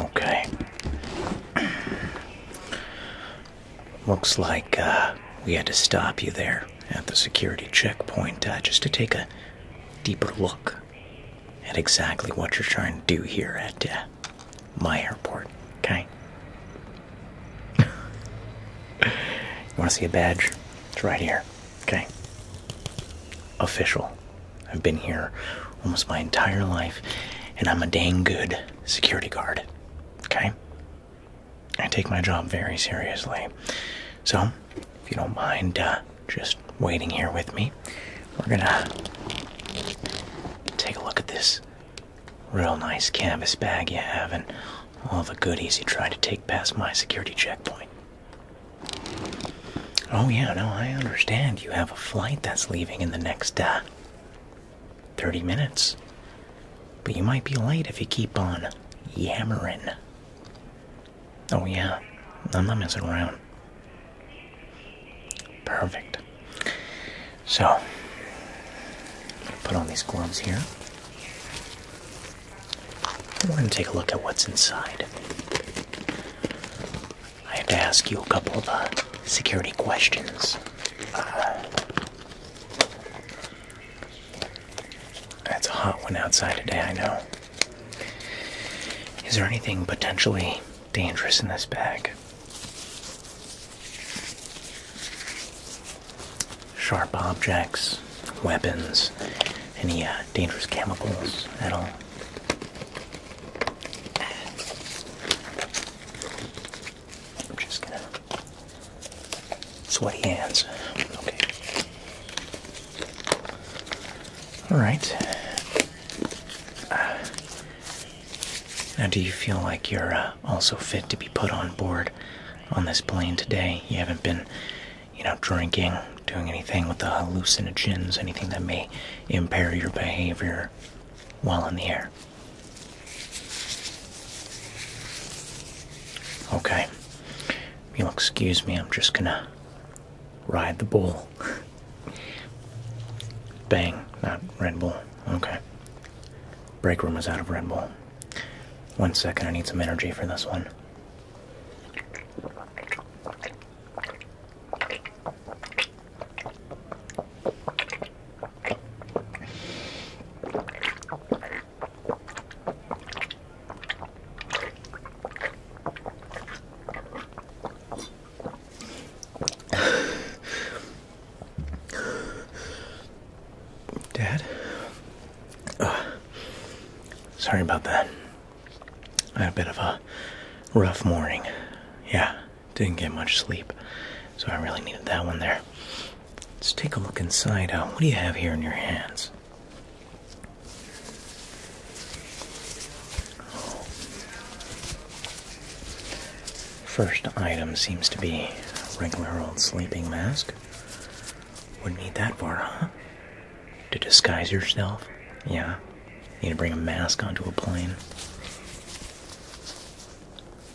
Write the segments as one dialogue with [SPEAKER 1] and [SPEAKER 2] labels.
[SPEAKER 1] Okay. Looks like uh, we had to stop you there at the security checkpoint uh, just to take a deeper look at exactly what you're trying to do here at uh, my airport, okay? want to see a badge? It's right here. Okay. Official. I've been here almost my entire life, and I'm a dang good security guard. Okay? I take my job very seriously. So, if you don't mind uh, just waiting here with me, we're gonna take a look at this real nice canvas bag you have and all the goodies you tried to take past my security checkpoint. Oh, yeah, no, I understand. You have a flight that's leaving in the next uh, 30 minutes. But you might be late if you keep on yammering. Oh, yeah, I'm not messing around. Perfect. So, put on these gloves here. We're going to take a look at what's inside. I have to ask you a couple of uh, security questions. Uh, that's a hot one outside today, I know. Is there anything potentially dangerous in this bag? Sharp objects, weapons, any uh, dangerous chemicals at all. I'm just gonna sweaty hands. Okay. All right. now, do you feel like you're uh, also fit to be put on board on this plane today? You haven't been you know, drinking, doing anything with the hallucinogens, anything that may impair your behavior while in the air. Okay. you'll excuse me, I'm just gonna ride the bull. Bang, not Red Bull. Okay. Break room is out of Red Bull. One second, I need some energy for this one. Dad? Uh, sorry about that. I had a bit of a rough morning. Yeah, didn't get much sleep. So I really needed that one there. Let's take a look inside. Uh, what do you have here in your hands? First item seems to be a regular old sleeping mask. Wouldn't need that for, huh? To disguise yourself? Yeah. You need to bring a mask onto a plane.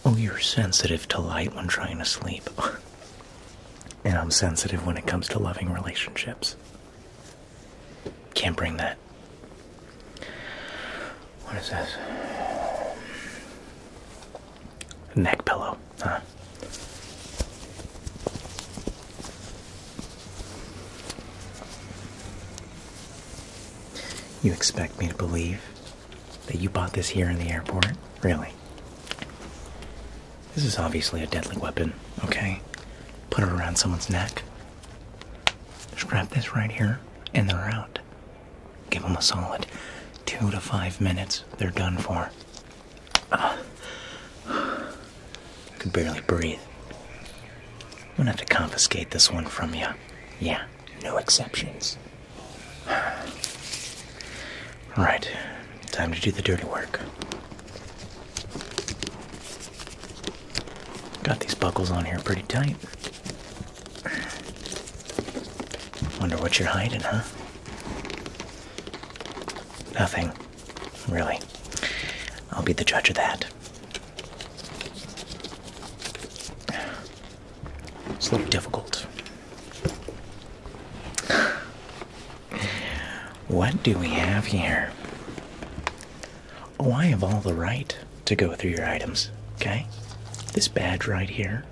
[SPEAKER 1] Oh, you're sensitive to light when trying to sleep. and I'm sensitive when it comes to loving relationships. Can't bring that. What is this? Neck pillow, huh? You expect me to believe that you bought this here in the airport? Really? This is obviously a deadly weapon, okay? Put it around someone's neck. Just grab this right here, and they're out. Give them a solid two to five minutes. They're done for. Uh, I could barely breathe. I'm gonna have to confiscate this one from you. Yeah, no exceptions. All right, time to do the dirty work. Got these buckles on here pretty tight. Wonder what you're hiding, huh? Nothing. Really. I'll be the judge of that. It's a little difficult. What do we have here? Oh, I have all the right to go through your items, okay? This badge right here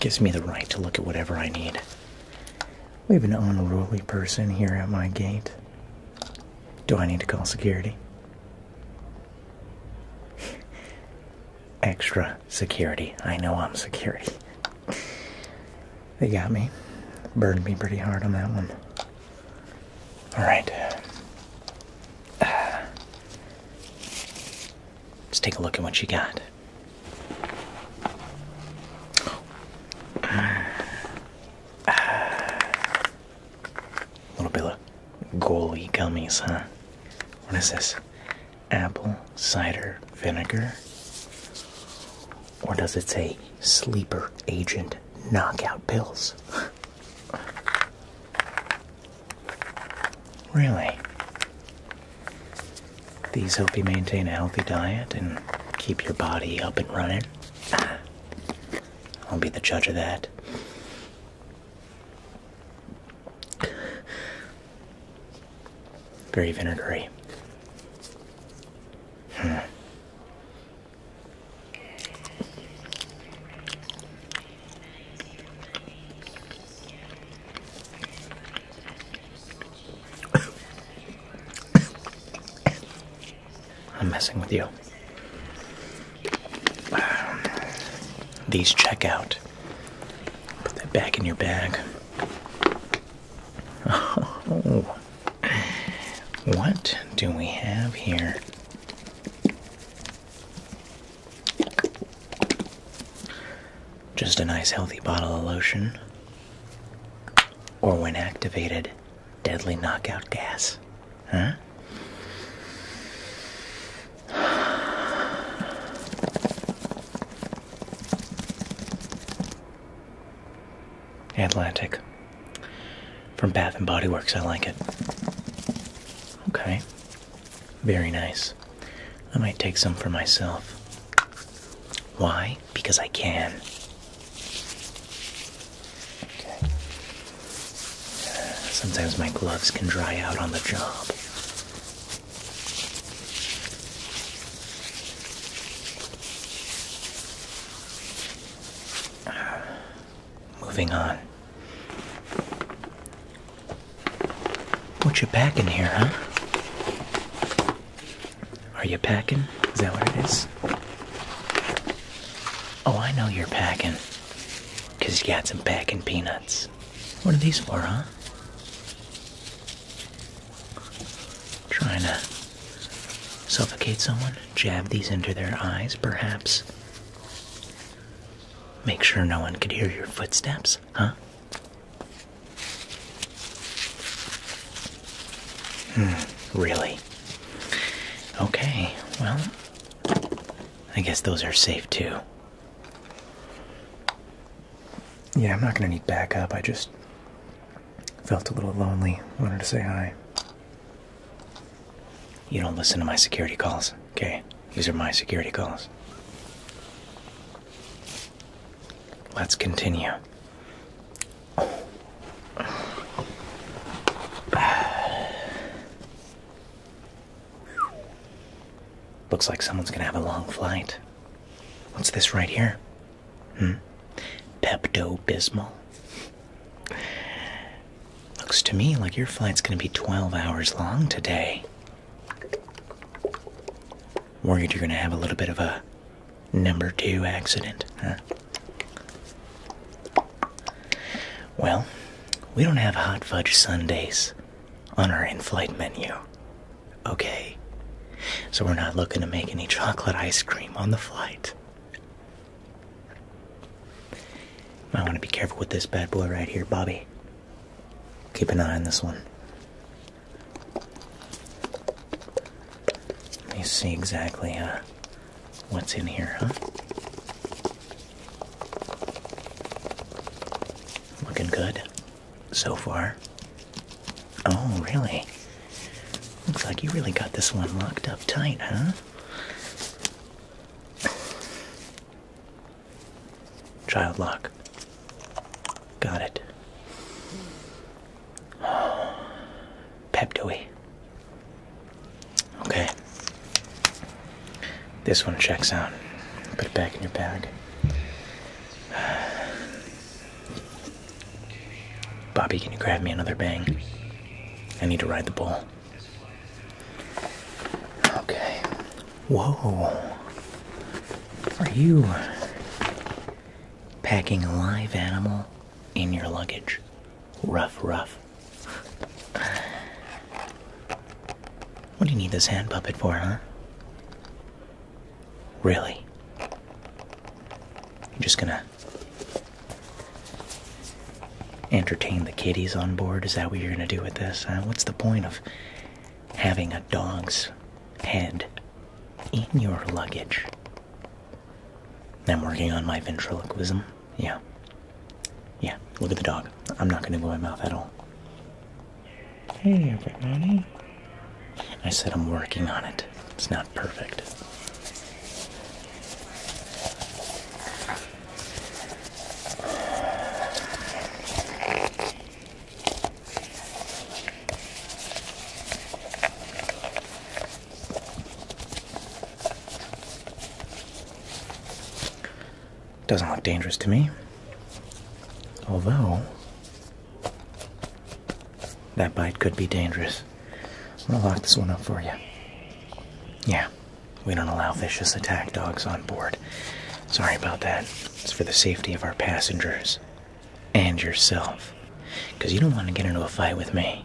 [SPEAKER 1] gives me the right to look at whatever I need. We have an unruly person here at my gate. Do I need to call security? Extra security. I know I'm security. they got me. Burned me pretty hard on that one. Alright. let's take a look at what you got. A little bit of goalie gummies, huh? What is this? Apple cider vinegar? Or does it say sleeper agent knockout pills? really? These help you maintain a healthy diet and keep your body up and running. I'll be the judge of that. Very vinegary. Hmm. I'm messing with you. these check out. Put that back in your bag. Oh. What do we have here? Just a nice healthy bottle of lotion. Or when activated, Deadly knockout gas. Huh? Atlantic. From Bath and Body Works, I like it. Okay. Very nice. I might take some for myself. Why? because I can. sometimes my gloves can dry out on the job. moving on. What you packing here, huh? Are you packing? Is that what it is? Oh, I know you're packing. Because you got some packing peanuts. What are these for, huh? Trying to suffocate someone? Jab these into their eyes, perhaps? Make sure no one could hear your footsteps, huh? Hmm, really? Okay, well, I guess those are safe too. Yeah, I'm not gonna need backup. I just felt a little lonely. Wanted to say hi. You don't listen to my security calls, okay? These are my security calls. Let's continue. Looks like someone's gonna have a long flight. What's this right here? Hmm? Pepto Bismol? Looks to me like your flight's gonna be 12 hours long today. Worried you're gonna have a little bit of a number two accident, huh? Well, we don't have hot fudge sundaes on our in flight menu, okay? So we're not looking to make any chocolate ice cream on the flight. I want to be careful with this bad boy right here, Bobby. Keep an eye on this one. Let me see exactly huh? what's in here, huh? Looking good so far. Oh, really? Looks like you really got this one locked up tight, huh? Child lock. Got it. Peptoe. Okay. This one checks out. Put it back in your bag. Bobby, can you grab me another bang? I need to ride the bull. Okay. Whoa. Are you packing a live animal? in your luggage. Rough, rough. What do you need this hand puppet for, huh? Really? You're just gonna entertain the kiddies on board? Is that what you're gonna do with this? What's the point of having a dog's head in your luggage? I'm working on my ventriloquism. Yeah. Yeah, look at the dog. I'm not going to go my mouth at all. Hey, everybody. I said I'm working on it. It's not perfect. Doesn't look dangerous to me. Although, that bite could be dangerous. I'm gonna lock this one up for you. Yeah, we don't allow vicious attack dogs on board. Sorry about that. It's for the safety of our passengers and yourself. Because you don't want to get into a fight with me.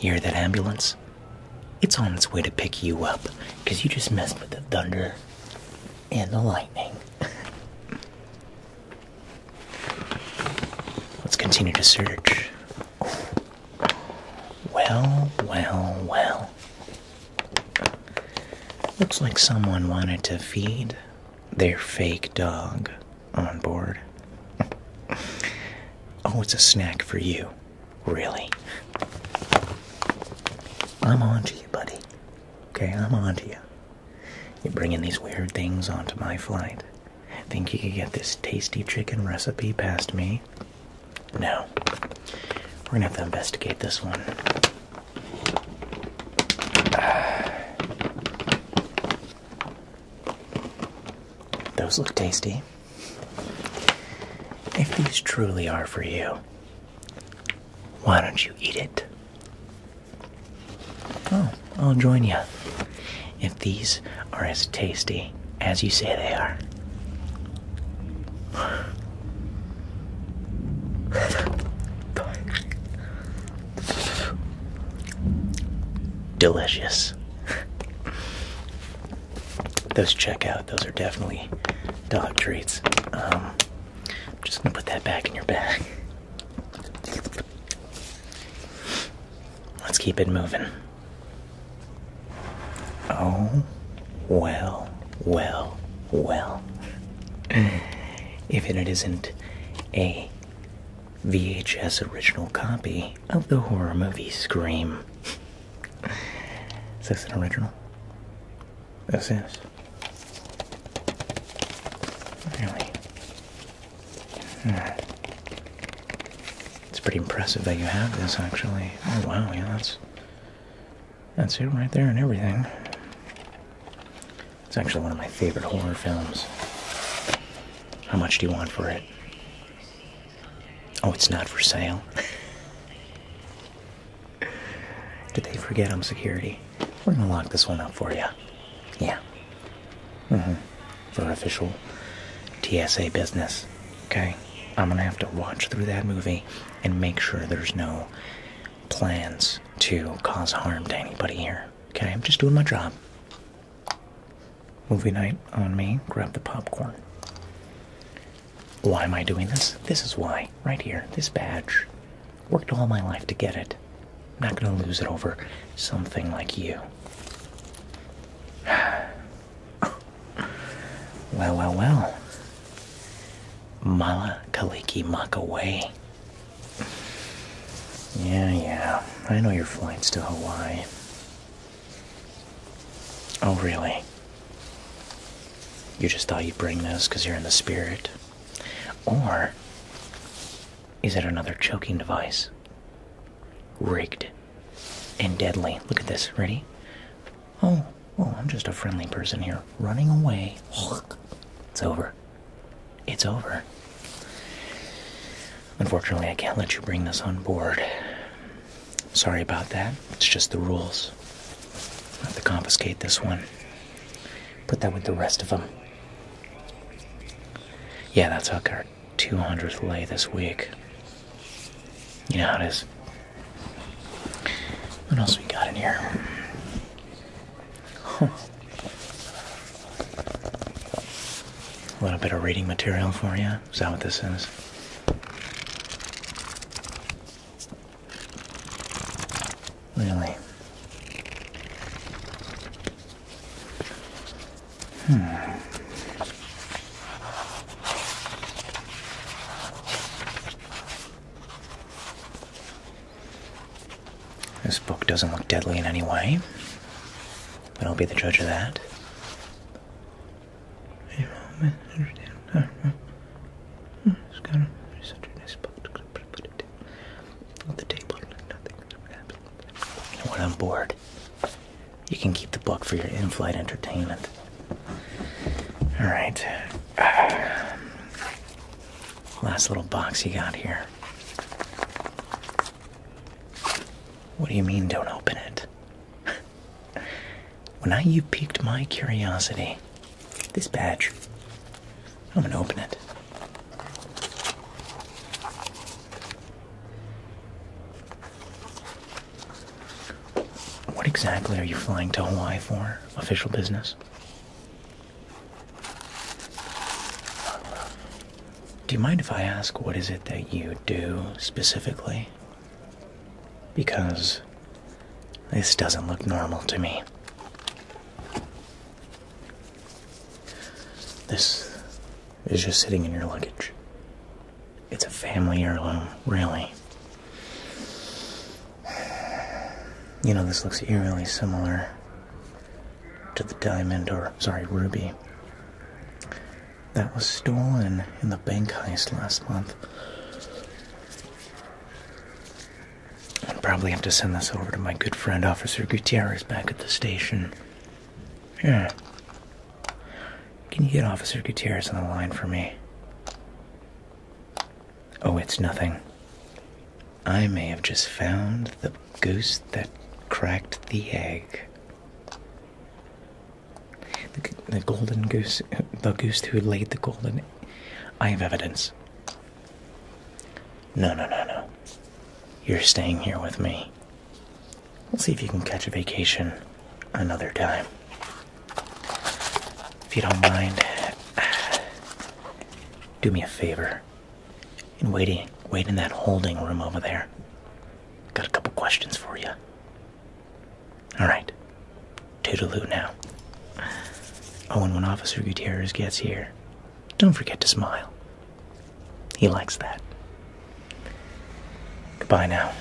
[SPEAKER 1] You hear that ambulance? It's on its way to pick you up because you just messed with the thunder and the lightning. Let's continue to search. Well, well, well. Looks like someone wanted to feed their fake dog on board. oh, it's a snack for you. Really? I'm on to you, buddy. Okay, I'm on to you. You're bringing these weird things onto my flight. Think you could get this tasty chicken recipe past me? No. We're gonna have to investigate this one. Those look tasty. If these truly are for you, why don't you eat it? Oh, I'll join you. If these are as tasty as you say they are. Delicious. those check out. Those are definitely dog treats. I'm um, just gonna put that back in your bag. Let's keep it moving. Oh, well, well, well. If it isn't a VHS original copy of the horror movie Scream. is this an original? This is. Really? It's pretty impressive that you have this actually. Oh wow, yeah, that's that's it right there and everything. It's actually one of my favorite horror films. How much do you want for it? Oh, it's not for sale. Did they forget I'm security? We're gonna lock this one up for you. Yeah. Mm-hmm. For official TSA business. Okay? I'm gonna have to watch through that movie and make sure there's no plans to cause harm to anybody here. Okay? I'm just doing my job. Movie night on me, grab the popcorn. Why am I doing this? This is why, right here, this badge. Worked all my life to get it. I'm not gonna lose it over something like you. well, well, well. Mala Kaliki Makaway. Yeah, yeah. I know you're flying to Hawaii. Oh, really? You just thought you'd bring this because you're in the spirit? Or is it another choking device? Rigged and deadly. Look at this. Ready? Oh, oh! I'm just a friendly person here. Running away. It's over. It's over. Unfortunately, I can't let you bring this on board. Sorry about that. It's just the rules. have to confiscate this one. Put that with the rest of them. Yeah, that's how our 200th lay this week. You know how it is. What else we got in here? A little bit of reading material for you. Is that what this is? Really? Hmm. This book doesn't look deadly in any way, but I'll be the judge of that. I when I'm bored, you can keep the book for your in-flight entertainment. All right. last little box you got here. What do you mean, don't open it? When I, you piqued my curiosity. This badge. I'm gonna open it. What exactly are you flying to Hawaii for? Official business? Do you mind if I ask what is it that you do specifically? Because this doesn't look normal to me. This is just sitting in your luggage. It's a family heirloom, really. You know, this looks eerily similar to the diamond, or sorry, ruby, that was stolen in the bank heist last month. I'll probably have to send this over to my good friend Officer Gutierrez back at the station. Yeah. Can you get Officer Gutierrez on the line for me? Oh, it's nothing. I may have just found the goose that cracked the egg. The, golden goose, the goose who laid the golden. I have evidence. No, no, no, no. You're staying here with me. We'll see if you can catch a vacation another time. If you don't mind, do me a favor and wait in that holding room over there. Got a couple questions for you. All right, toodaloo now. Oh, and when Officer Gutierrez gets here, don't forget to smile. He likes that. Goodbye now.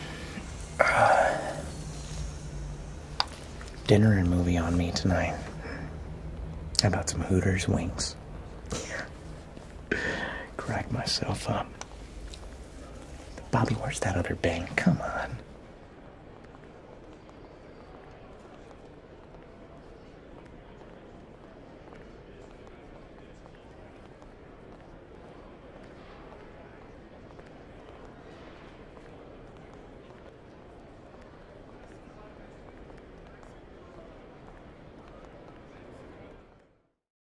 [SPEAKER 1] dinner and movie on me tonight. How about some Hooters wings? Crack myself up. Bobby, where's that other bang? Come on.